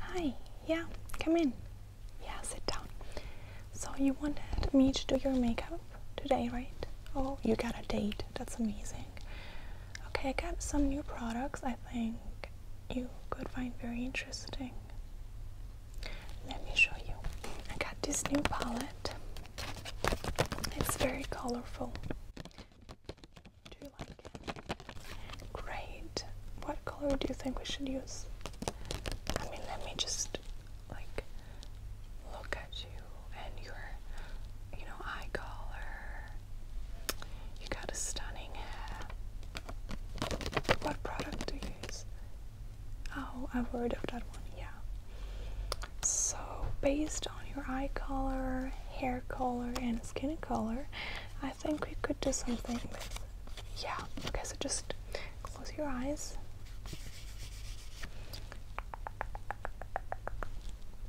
Hi, yeah, come in. Yeah, sit down. So, you wanted me to do your makeup today, right? Oh, you got a date. That's amazing. Okay, I got some new products I think you could find very interesting. Let me show you. I got this new palette, it's very colorful. Great. What color do you think we should use? I mean, let me just like look at you and your, you know, eye color. You got a stunning hair. What product do use? Oh, I've heard of that one, yeah. So, based on your eye color, hair color, and skin color, I think we could do something Yeah, okay, so just close your eyes.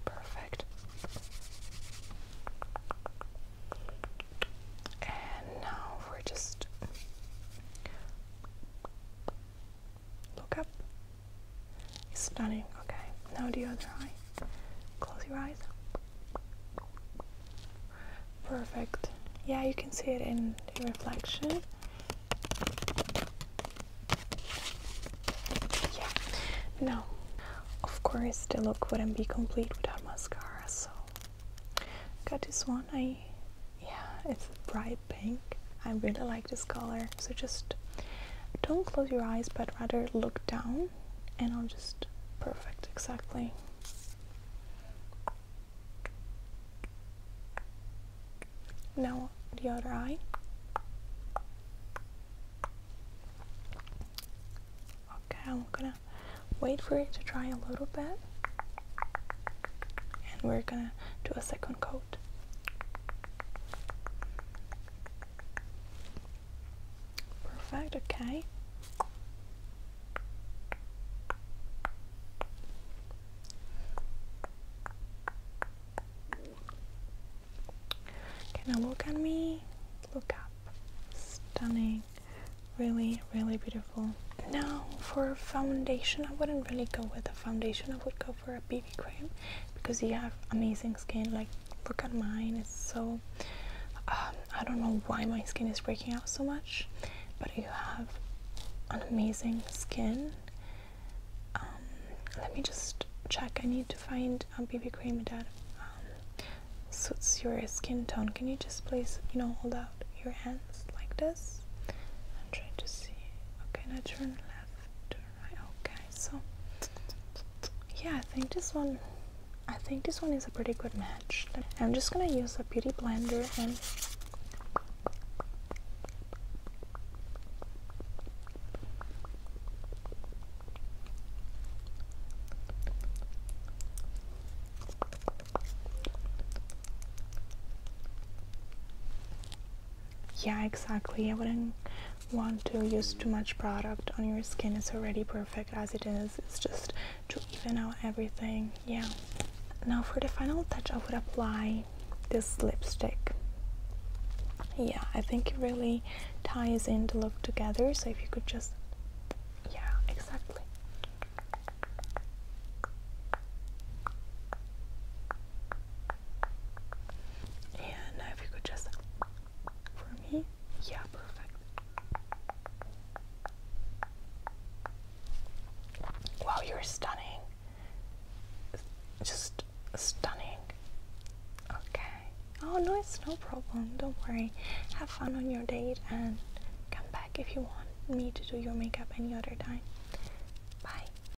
Perfect. And now we're just. Look up. Stunning. Okay, now the other eye. Close your eyes. Perfect. Yeah, you can see it in the reflection. Yeah. Now, of course, the look wouldn't be complete without mascara, so got this one. I yeah, it's bright pink. I really like this color. So just don't close your eyes, but rather look down and I'll just perfect exactly. Now the other eye. Okay, I'm gonna wait for it to dry a little bit and we're gonna do a second coat. Perfect, okay. Can I look at me. Look up. Stunning. Really, really beautiful. Now, for foundation, I wouldn't really go with a foundation. I would go for a BB cream because you have amazing skin. Like, look at mine it's so um, I don't know why my skin is breaking out so much but you have an amazing skin um, let me just check I need to find a BB cream that um, suits your skin tone can you just please you know hold out your hands like this I'm trying to see okay now turn left okay so yeah I think this one I think this one is a pretty good match I'm just gonna use a beauty blender and yeah exactly i wouldn't want to use too much product on your skin it's already perfect as it is it's just to even out everything yeah now for the final touch i would apply this lipstick yeah i think it really ties in the look together so if you could just yeah exactly and if you could just for me. Yeah, perfect. Wow, you're stunning. Just stunning. Okay. Oh, no, it's no problem. Don't worry. Have fun on your date and come back if you want me to do your makeup any other time. Bye.